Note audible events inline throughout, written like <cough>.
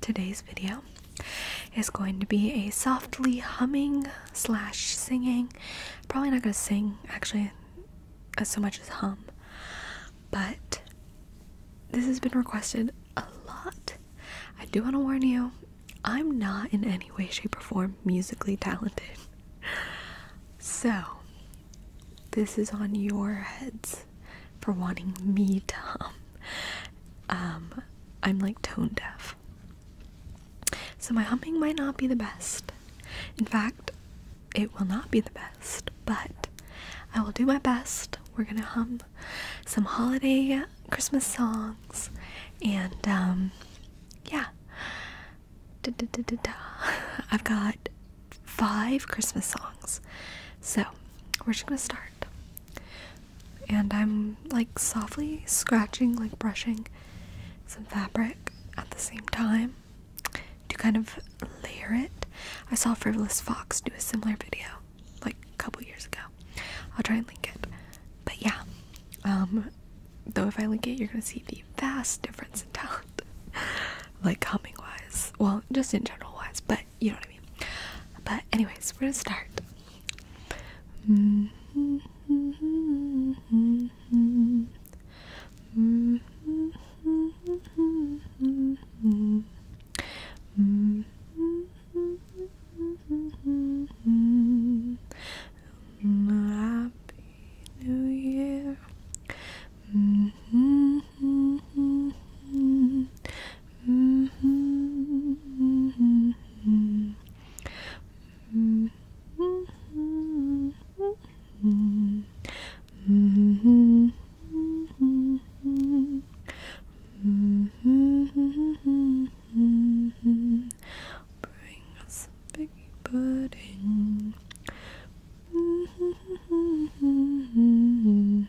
today's video is going to be a softly humming slash singing. Probably not gonna sing actually as so much as hum, but this has been requested a lot. I do want to warn you, I'm not in any way, shape, or form musically talented. <laughs> So, this is on your heads for wanting me to hum. Um, I'm like tone deaf. So my humming might not be the best. In fact, it will not be the best, but I will do my best. We're gonna hum some holiday Christmas songs and um, yeah. <laughs> I've got five Christmas songs. So we're just gonna start. And I'm like softly scratching, like brushing some fabric at the same time to kind of layer it. I saw Frivolous Fox do a similar video like a couple years ago. I'll try and link it. But yeah, um, though if I link it, you're gonna see the vast difference in talent, <laughs> like humming wise. Well, just in general wise, but you know what I mean. But anyways, we're gonna start. Happy New Year. Mm -hmm, mm -hmm, mm -hmm. Mm -hmm, mm -hmm. Mm -hmm, mm -hmm, mm -hmm. Mm -hmm. Bring us a biggie pudding. Mm -hmm, mm -hmm, mm -hmm.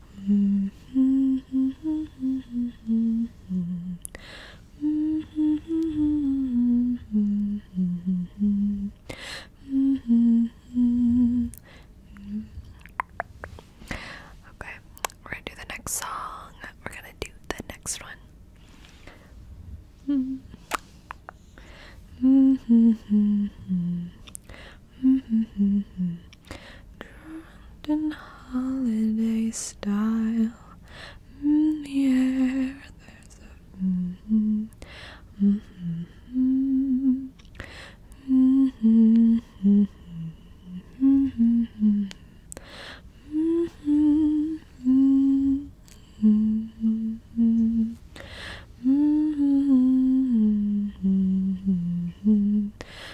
Okay, we're gonna do the next song. We're gonna do the next one. Mm-hmm. Mm-hmm. Mm-hmm. Drunk in holiday style. In the air, there's a.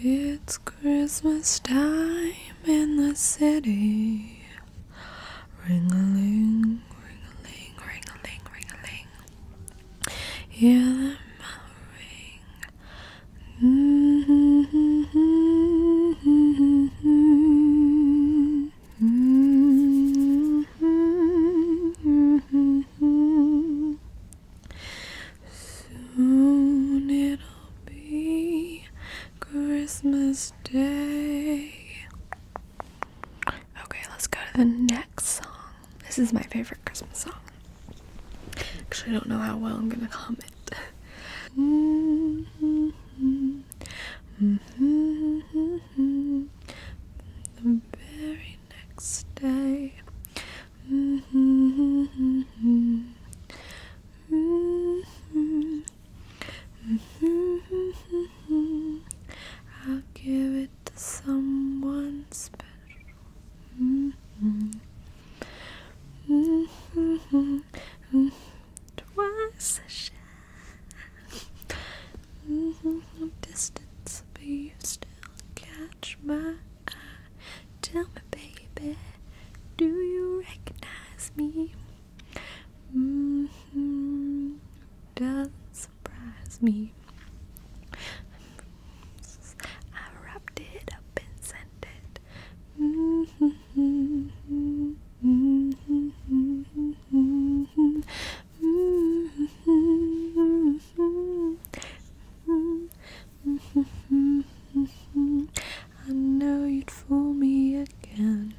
It's Christmas time in the city. Ring a ling, ring a ling, ring a ring Soon it'll be Christmas Day. Okay, let's go to the next song. This is my favorite Christmas song. Actually, I don't know how well I'm gonna comment. <laughs> Mm -hmm, mm -hmm. The very next day. Mm -hmm, mm -hmm. Mm -hmm. Mm -hmm, mm -hmm. I'll give it to someone special. Mm -hmm. Mm -hmm, mm -hmm. Twice a shy mm -hmm. Distance, but you still catch my eye. Tell me, baby, do you recognize me? Mm-hmm. Doesn't surprise me. I wrapped it up and sent it. Mm-hmm. Hmm. know you'd fool me again.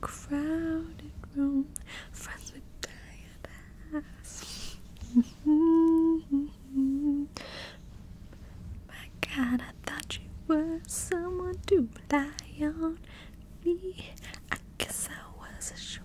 Crowded room, friends with tired My God, I thought you were someone to rely on me guess I was a short.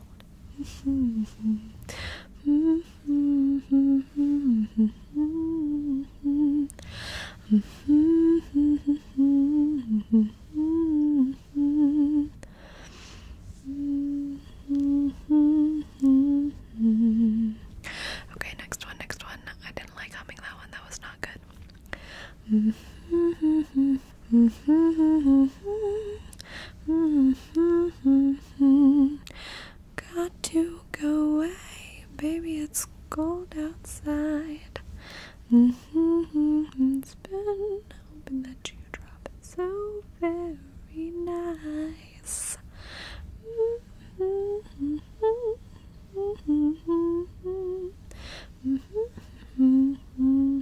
Okay, next one, next one. I didn't like humming that one, that was not good. Got to go away, baby. It's cold outside. Mm-hmm. It's been hoping that you drop it so very nice. Mm-hmm. Mm-hmm.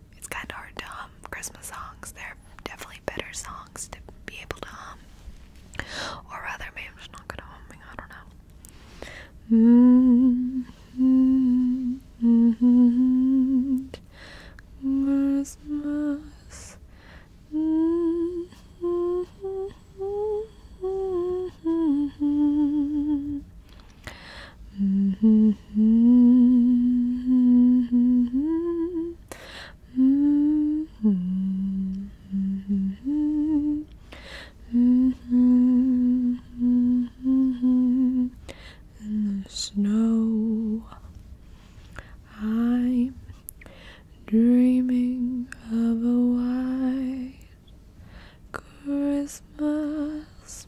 it's kind of hard to hum Christmas songs. they are definitely better songs to be able to hum. Or rather, maybe I'm just not good at humming, I don't know. Christmas in the snow. I'm dreaming of a white Christmas.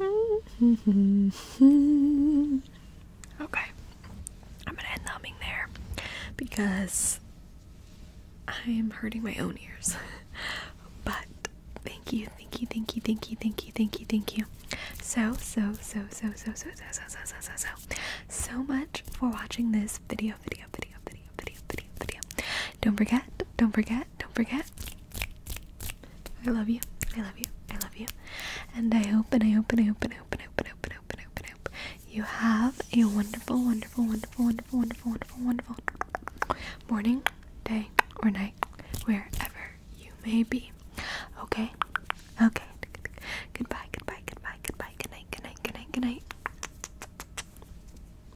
okay. I'm gonna end numbing there because I am hurting my own ears. but thank you, thank you, thank you, thank you, thank you, thank you, thank you. So, so, so, so, so, so, so, so, so, so, so, so, so much for watching this video, video, video, video, video, video, video. Don't forget, don't forget that. Don't forget. I love you. I love you. I love you. And I hope and I hope and I hope and I hope and I hope and I hope and I hope and I hope, and I hope you have a wonderful, wonderful, wonderful, wonderful, wonderful, wonderful, wonderful morning, day, or night, wherever you may be. Okay? Okay. Goodbye, goodbye, goodbye, goodbye, good night, good night, good night, good night.